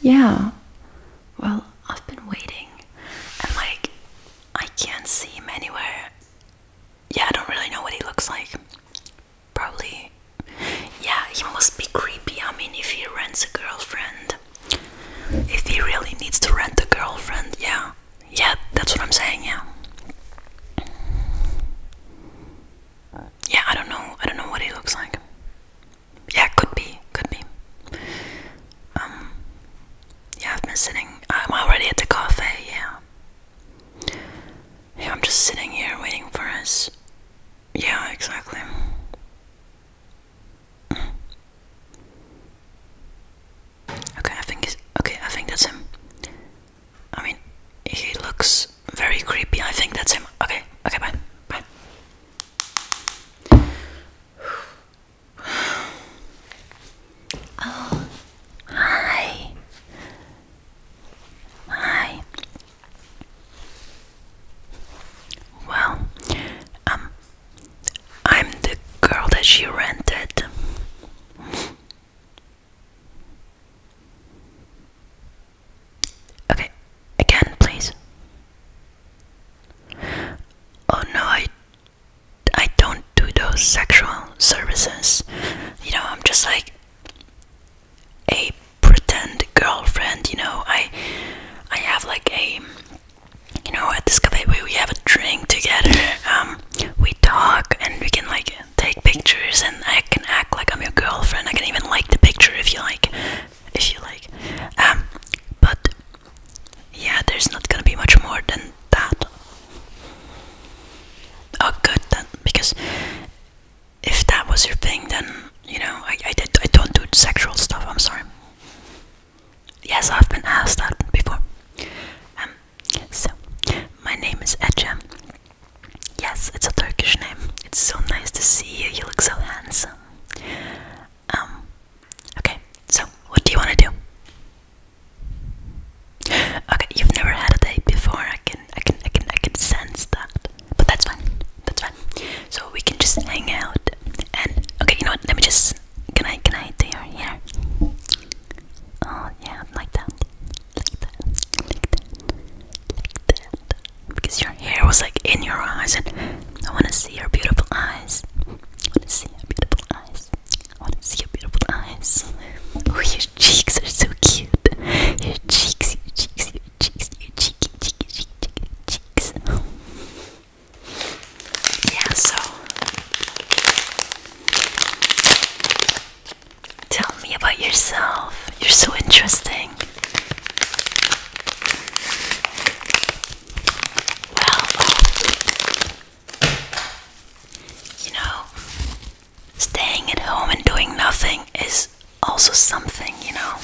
Yeah. Well, I've been waiting and like I can't see him anywhere. Yeah, I don't really know what he looks like. Probably. Yeah, he must be creepy. I mean, if he rents a girlfriend, if he really needs to rent a girlfriend, yeah. Yeah, that's what I'm saying, yeah. Yeah, I don't know. I don't know what he looks like yeah, could be, could be. Um, yeah, I've been sitting. I'm already at the cafe. Yeah. Yeah, I'm just sitting here waiting for us. Yeah, exactly. Okay, I think it's okay. I think that's him. I mean, he looks very creepy. I think that's him. Okay, okay, bye, bye. Oh, hi. Hi. Well, um, I'm the girl that she rented. Okay, again, please. Oh no, I, I don't do those sexual services. You know, I'm just like a pretend girlfriend. You know, I, I have like a, you know, at this cafe we, we have a drink together. Um, we talk and we can like take pictures, and I can act like I'm your girlfriend. I can even like the picture if you like if you like. Um, but yeah, there's not gonna be much more than that. Oh, good then, because if that was your thing, then you know I I, did, I don't do sexual stuff. I'm sorry. Yes, I've been asked that before. Um, so my name is Ecem. Yes, it's a Turkish name. It's so nice to see you. You look so handsome. Um, okay, so what do you want to do? Okay, you've never had a date before. I can, I can, I can, I can sense that. But that's fine. That's fine. So we can just hang out. And okay, you know what? Let me just. Can I, can I do your hair? Oh yeah, like that. Like that. Like that. Like that because your hair was like in your eyes, and I want to see your beautiful eyes. I want to see your beautiful eyes. I want to see your beautiful eyes. Oh, your cheeks are so cute. Your cheeks, your cheeks, your cheeks, your cheeky, cheeky, cheeky, cheeky cheeks. Oh. Yeah, so tell me about yourself. You're so interesting. Well, you know, staying at home and doing nothing is also something, you know.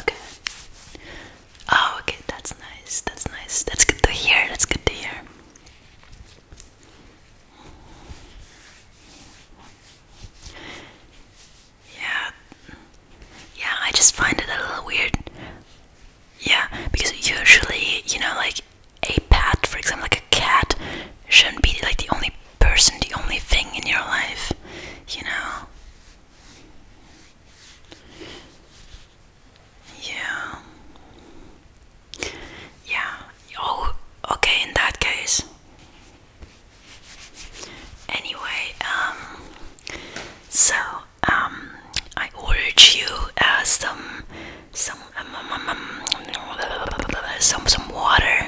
Okay. Oh, okay, that's nice. That's nice. That's good to hear. That's good to hear. Yeah. Yeah, I just find it a little weird. Yeah, because usually, you know, like a pet, for example, like a cat, shouldn't be like the only person, the only thing in your life, you know? Yeah. Yeah. Oh, okay, in that case. Anyway, um so um I urge you uh, some some um, um, um, um, some some water.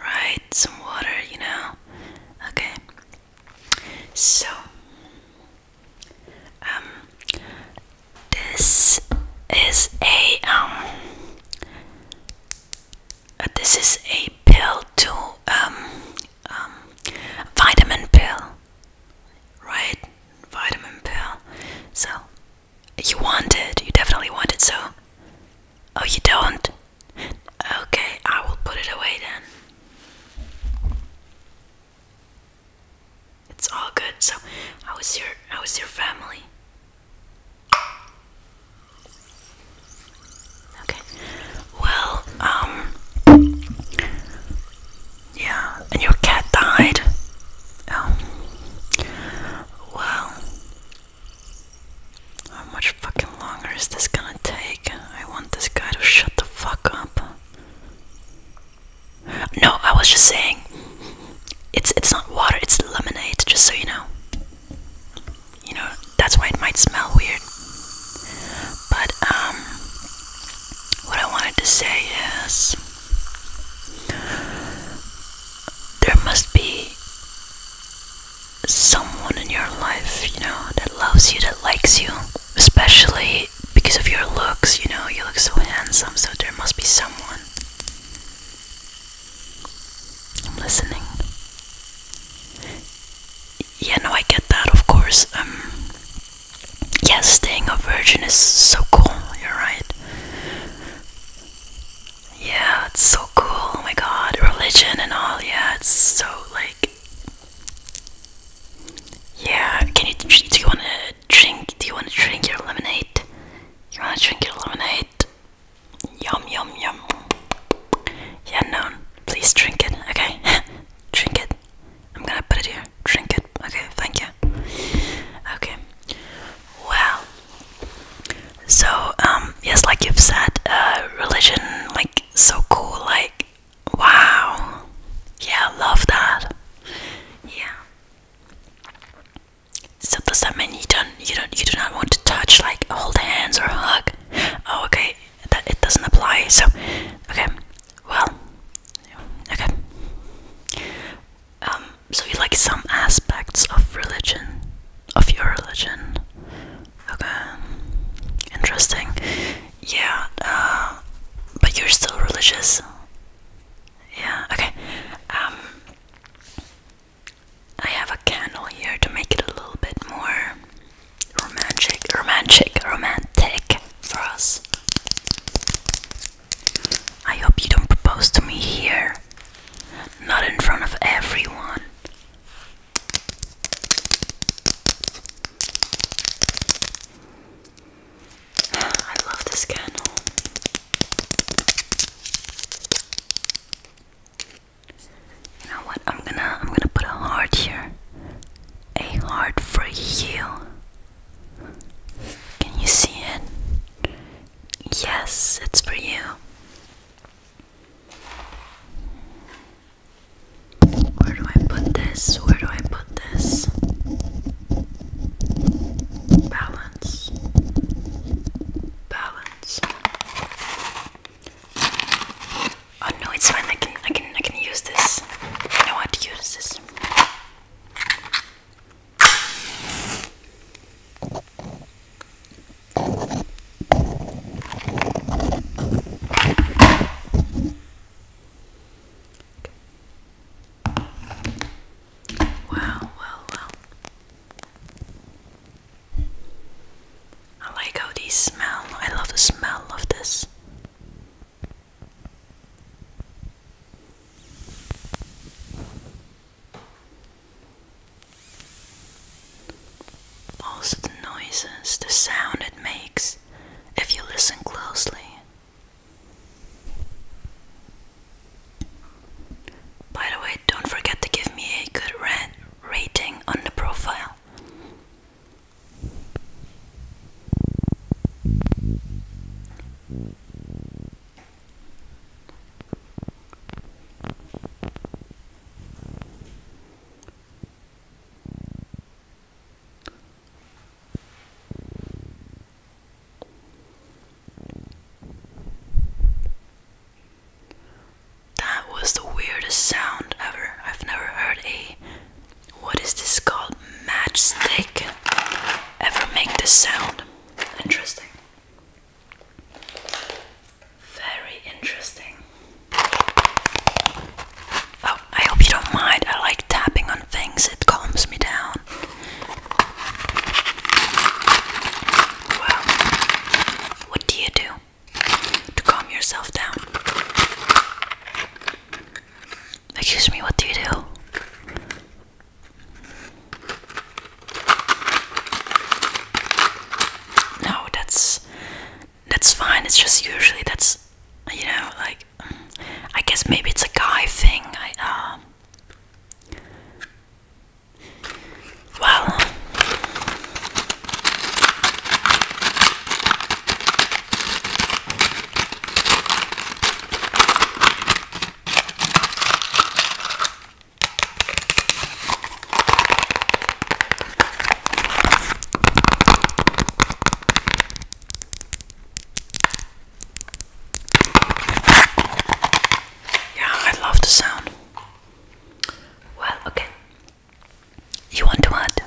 Right? Some water, you know. Okay. So um, this is a um. Uh, this is a pill to um, um vitamin pill, right? Vitamin pill. So you want it. You definitely want it. So oh, you don't. Okay, I will put it away then. It's all good. So, how is your how is your family? Okay. Well, um Yeah, and your cat died. Um Well How much fucking longer is this gonna take? I want this guy to shut the fuck up. No, I was just saying it's it's not water, it's lemonade, just so you know. You know, that's why it might smell weird. But um what I wanted to say is there must be someone in your life, you know, that loves you, that likes you especially because of your looks, you know, you look so handsome, so there must be someone. I'm listening. Yeah, no, I get that, of course. Um, yeah, staying a virgin is so cool, you're right. Yeah, it's so cool, oh my god, religion and all, yeah, it's so like. Yeah, can you, do you want to drink? Do you want to drink your lemonade? You want to drink your lemonade? Yum, yum, yum. Yeah, no. Please drink it, okay? drink it. I'm gonna put it here. Drink it. Okay, thank you. Okay. Well. So, um, yes, like you've said, uh, religion, like, so cool, like, wow. Yeah, love that. Yeah. So does that mean you don't you don't you do not want to touch like hold hands or hug? Oh okay, that it doesn't apply. So okay, well okay. Um, so you like some aspects of religion, of your religion? Okay, interesting. Yeah, uh, but you're still religious. Yeah, okay. Um, I have a candle here to make it a little bit more romantic, romantic, romantic for us. I hope you don't propose to me here, not in front of everyone. I love this candle. You what? I'm gonna I'm gonna put a heart here. A heart for you. Can you see it? Yes, it's for you. Where do I put this? Where do I put this? balance, balance. Oh no, it's fine. I can, I can, I can use this. I know how to use this. Wow, wow, wow. I like how these smell. I love the smell of this. Also, the noises, the sound it makes if you listen closely. By the way, don't forget to give me a good rating on the profile. That was the weirdest sound ever. I've never heard a what is this called matchstick ever make this sound. Interesting. Very interesting. Oh, I hope you don't mind. I like tapping on things, it calms me down. Well, what do you do to calm yourself down? Excuse me, what do you do? No, that's that's fine. It's just usually that's you know like I guess maybe it's a guy thing. I, uh, well, yeah, I love the sound. Well, okay. You want to what?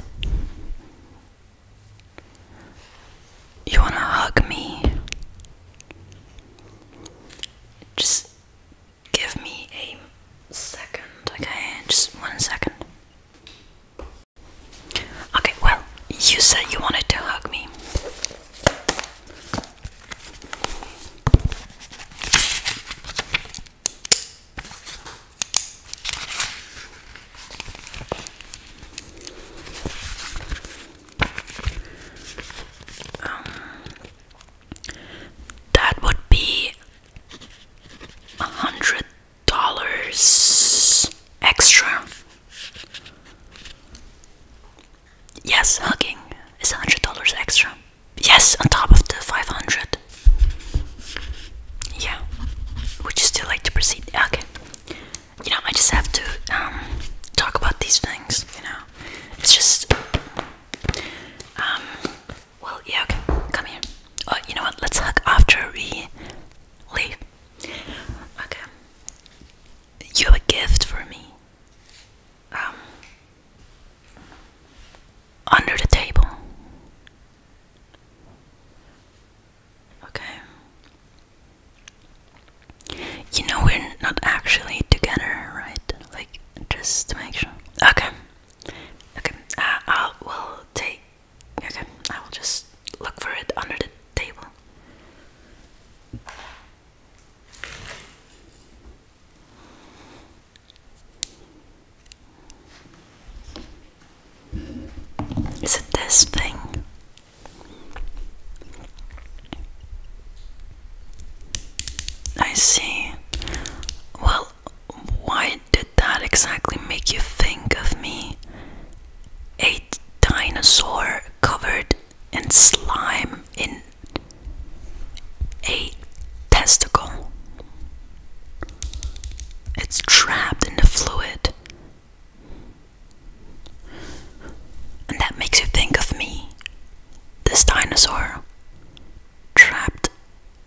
You want to hug me? Just give me a second, okay? Just one second. Okay, well, you said you wanted to hug me. Um, that would be a hundred dollars extra. Yes, hugging is $100 extra. Yes, on top of the 500. Yeah. Would you still like to proceed? Okay. You know, I just have to um, talk about these things, you know. It's just. Um, well, yeah, okay. Come here. Oh, you know what? Let's hug after we leave. Okay you have a gift for me. Um, under the table. Okay. You know we're not actually together, right? Like just to make sure. Okay. Okay. I uh, will take. Okay. I will just look for it under the table. Is it this thing? I see. Well, why did that exactly make you think of me? A dinosaur covered in slime in a testicle. It's trapped in the fluid. And that makes you think of me, this dinosaur, trapped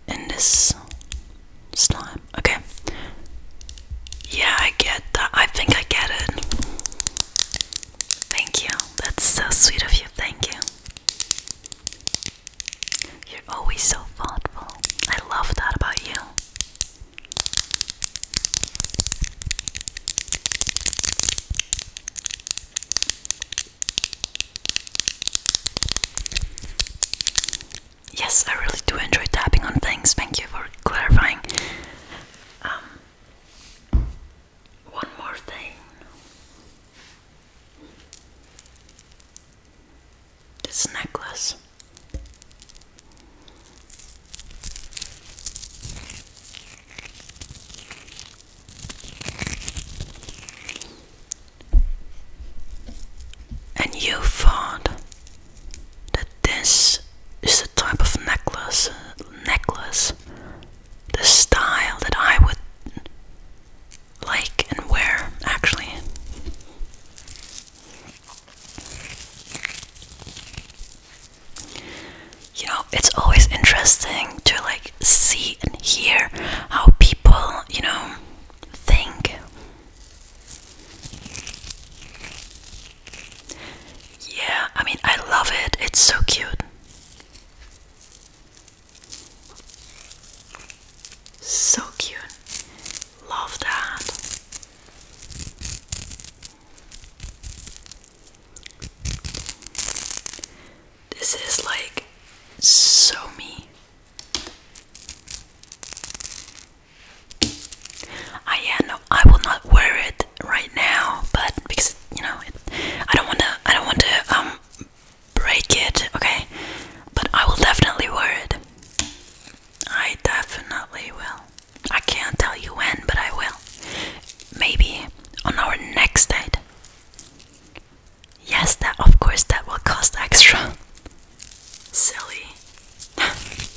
in this slime. Okay, yeah, I get that. I think I get it. Thank you. That's so sweet of you. Thank you. You're always so thoughtful. I love that about you. Yes, I really do enjoy tapping on things. Thank you for clarifying. Um, one more thing. This necklace. And you thought that this is type of necklace. Necklace. The style that I would like and wear, actually. You know, it's always interesting to like see and hear how people, you know, think. Yeah, I mean, I love it. It's so cute. So cute. Love that. This is like so me. ah, yeah, no, I will not wear it right now, but because you know, I don't want to. I don't want to um, break it. Okay, but I will definitely wear it. I definitely will. I can't tell you when, but I will. Maybe on our next date. Yes, that of course that will cost extra. Silly.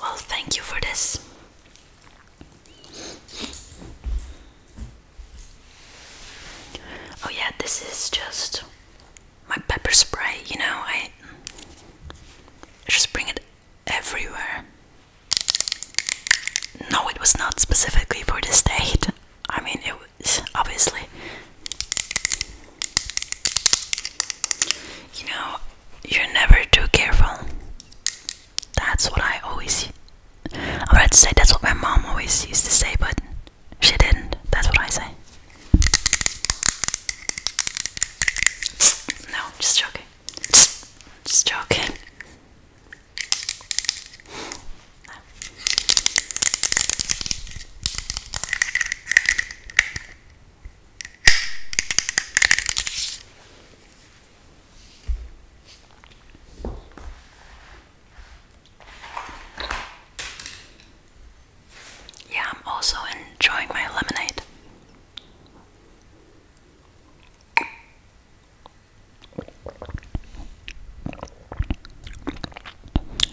Well, thank you for this. Oh yeah, this is just my pepper spray, you know, I just bring it everywhere. No, it was not specifically for this date. I mean, it was obviously. You know, you're never too careful. That's what I always. I'm about to say that's what my mom always used to say, but she didn't. That's what I say. No, just joking. Just joking. Yeah, I'm also enjoying my lemonade.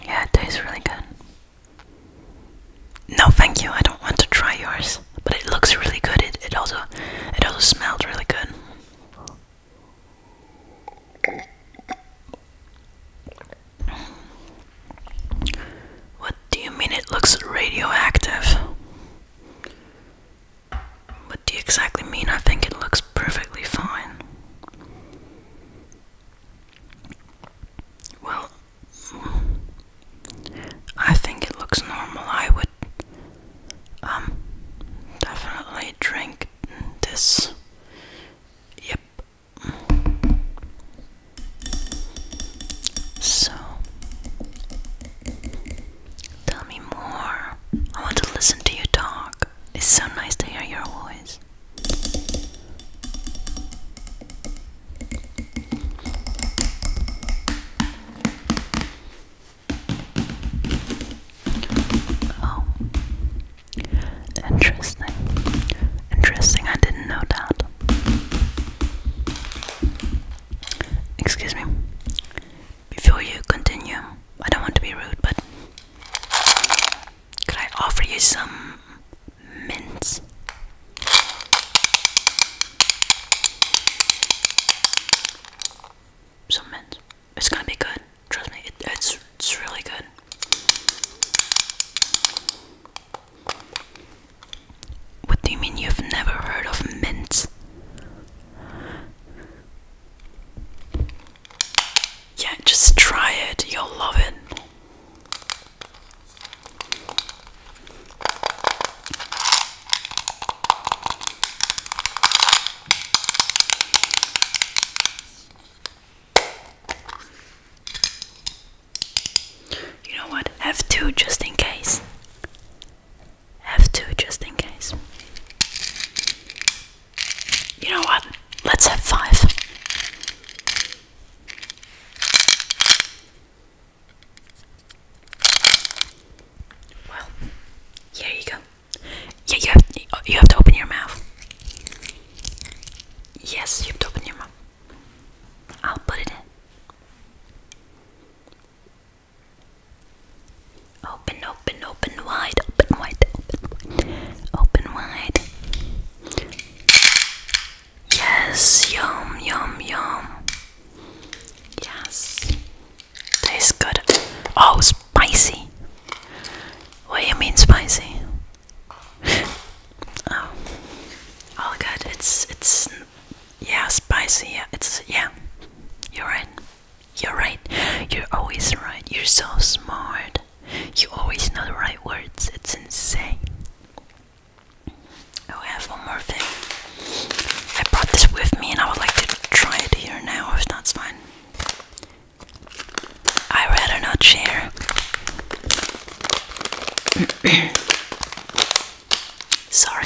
Yeah, it tastes really good. No, thank you. I don't want to try yours, but it looks really good. It it also it also smelled really good. What do you mean it looks radioactive? What do you exactly mean? I think it looks perfectly fine. Well, I think it looks normal. I would um definitely drink this Yep. So, tell me more. I want to listen to you talk. It's so nice to hear your voice. Oh. Interesting. Interesting, I didn't know that. Excuse me. Before you continue, I don't want to be rude, but could I offer you some mints? Some mints. It's gonna be good. Trust me, it's it's really good. What do you mean you've never heard of mint? Yeah, just try it. You'll love it. You know what? Have two just in case. Have two just in case. You know what? Let's have five. Well, here you go. Yeah, you have, to open your mouth. Yes, you have to open your mouth. I'll put it in. Open, open, wide, open wide, open wide, open wide. Yes, yum, yum, yum. Yes, tastes good. Oh, spicy. What do you mean spicy? oh, all good. It's it's yeah, spicy. Yeah, it's yeah. You're right. You're right. You're always right. You're so smart. You always know the right words. It's insane. Oh, have one more thing. I brought this with me, and I would like to try it here now, if that's fine. I would rather not share. Sorry.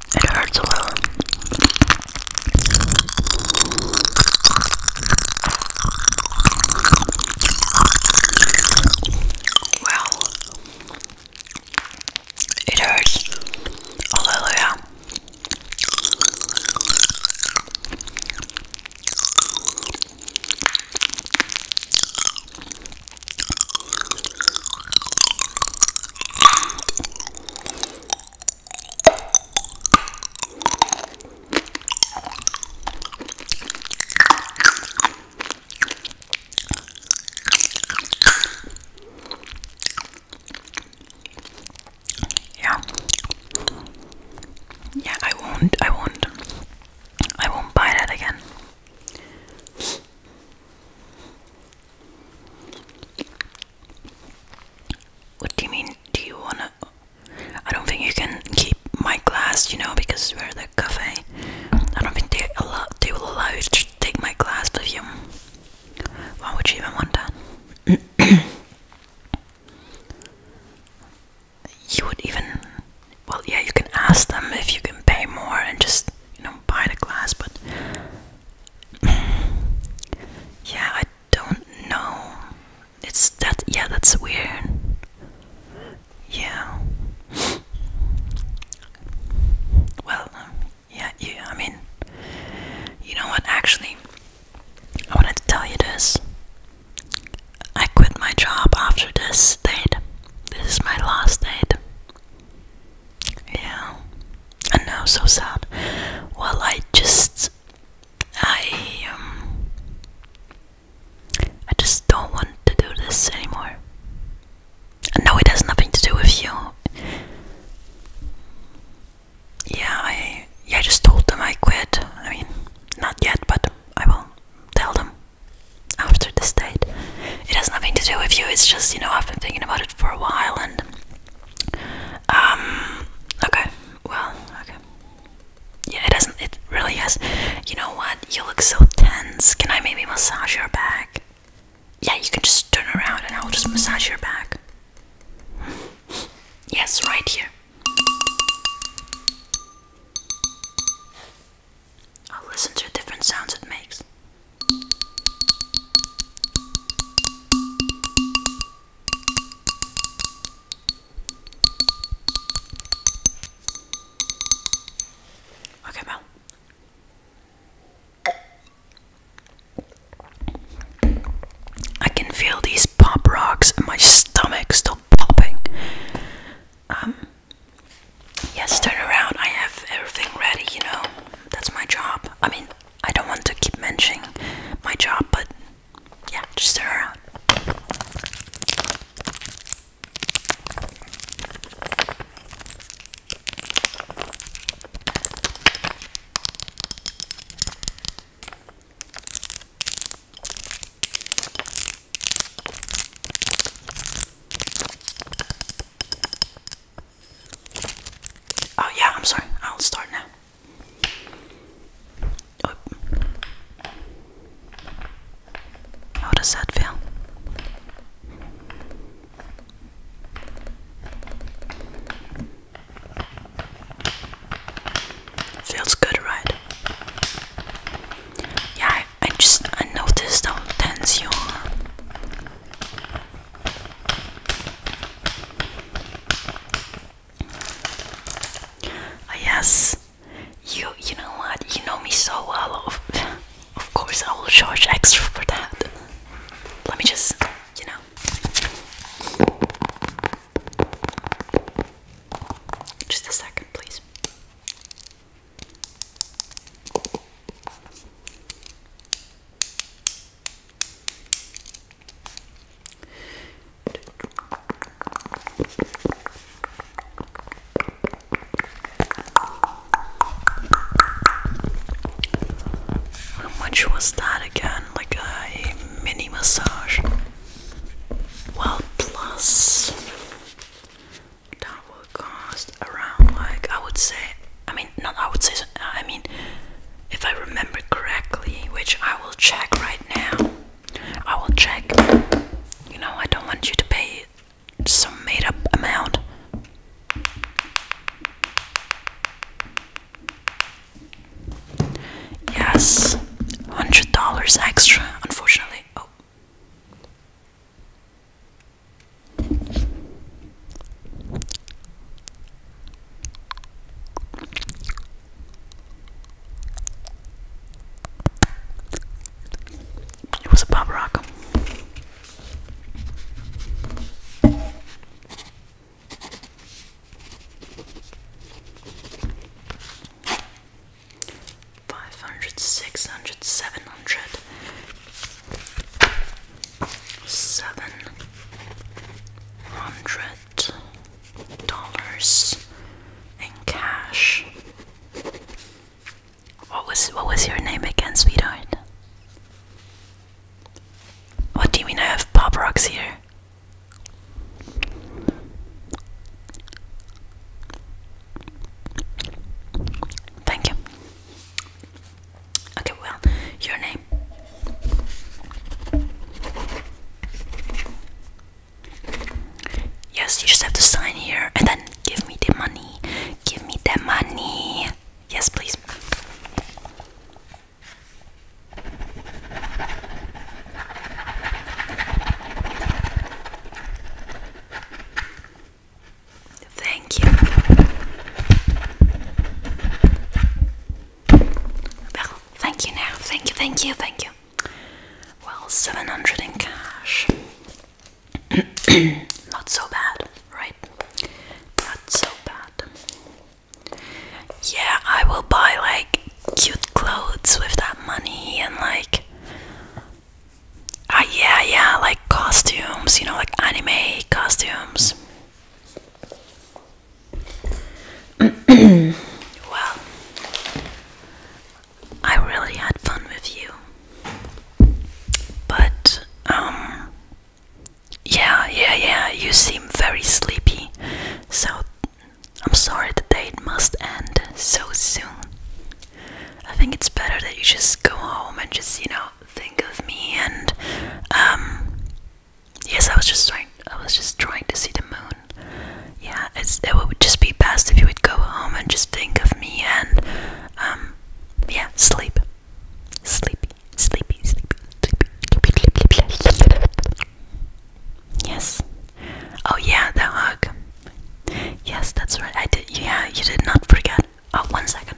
It hurts a lot. Well, it hurts a little, yeah. Yeah, I won't I won't I won't buy that again. What do you mean? Do you wanna? I don't think you can keep my glass, you know, because we're the cafe. I don't think they allow they will allow you to take my glass with you. Why would you even want that? you would even well yeah you can ask them if you can pay more and just you know, buy the glass, but yeah, I don't know. It's that, yeah, that's weird. Yeah. Well, um, yeah, yeah, I mean, you know what, actually, I wanted to tell you this. I quit my job after this date. This is my last date. Yeah. And now so sad. Well, I just I um I just don't want to do this anymore. And no, it has nothing to do with you. Yeah, I yeah, I just told them I quit. I mean, not yet, but I will tell them after this date. It has nothing to do with you. It's just, you know, I've been thinking about it for a while and um okay well okay yeah it doesn't it really has you know what you look so tense can i maybe massage your back yeah you can just turn around and i'll just massage your back yes right here i'll listen to different sounds it makes Ok, bon. I can feel these pop rocks in my stomach still popping. Um, yes, turn around. I have everything ready, you know that's my job. I mean, I don't want to keep mentioning my job, but yeah, just stir around. Oh yeah, I'm sorry. I'll start now. How does that feel? Feels good, right? Yeah, I, I just I noticed how tense you Oh, yes, you you know what? You know me so well. of course, I will charge extra for that. Let me just, you know. Just a second, please. How much was that again? Like a mini massage? Well, plus cost around like I would say I mean not I would say uh, I mean if I remember correctly which I will check right now I will check you know I don't want you to pay some made-up amount Yes, hundred dollars extra, unfortunately. Oh it was a pop rock. Five hundred, six hundred, seven hundred, seven hundred dollars in cash. What was what was your name again, sweetheart? What do you mean I have pop rocks here? Thank you. Okay, well, your name. Yes, you just have to sign here and then give me the money. Give me the money. Yes, please. Thank you. Well, thank you now. Thank you, thank you, thank you. Well, 700 in cash. Not so bad, right? Not so bad. Yeah, I will buy like cute clothes with that money and like. Ah, yeah, yeah, like costumes, you know, like anime costumes. well, I really had fun with you. But, um, yeah, yeah, yeah, you seem very sleepy. So, I'm sorry the date must end so soon. I think it's better that you just go home and just, you know, think of me and yes I was just trying I was just trying to see the moon. Yeah, it would just be best if you would go home and just think of me and yeah, sleep. Sleepy, sleepy, sleepy, sleepy, sleepy, sleepy, sleepy. Yes. Oh yeah, the hug. Yes, that's right. I did yeah, you did not forget. one second.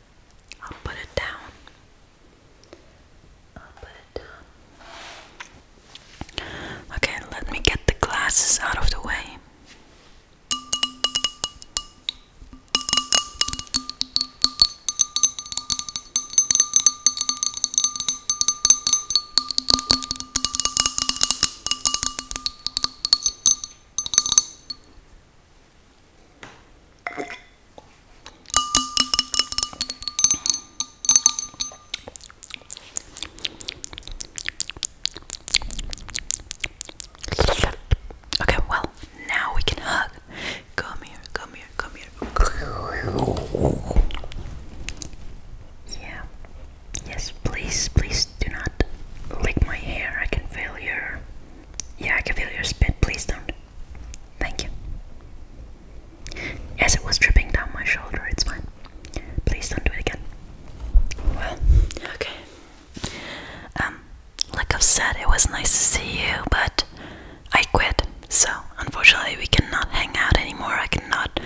I'll put it down. I'll put it down. Okay, let me get the glasses out of the way. Okay, well, now we can hug. Come here, come here, come here. Yeah. Yes, please, please do not lick my hair. I can feel your. Yeah, I can feel your spit. Please don't. Thank you. Yes, it was dripping down my shoulder, it's fine. Please don't do it again. Well, okay. Um, like i said, it was nice to see you, but I quit. So, unfortunately, we cannot hang out anymore. I cannot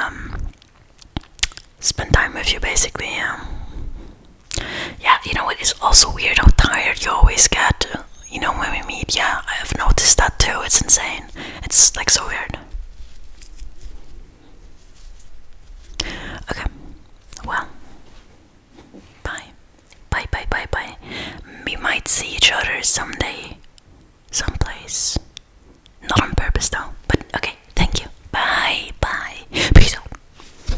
um, spend time with you, basically. Yeah, you know, it is also weird how tired you always get, you know, when we meet. Yeah, I have noticed that too. It's insane. It's like so weird. Okay, well, bye. Bye, bye, bye, bye. We might see each other someday, someplace. Not on purpose though, but okay, thank you. Bye, bye. Peace out.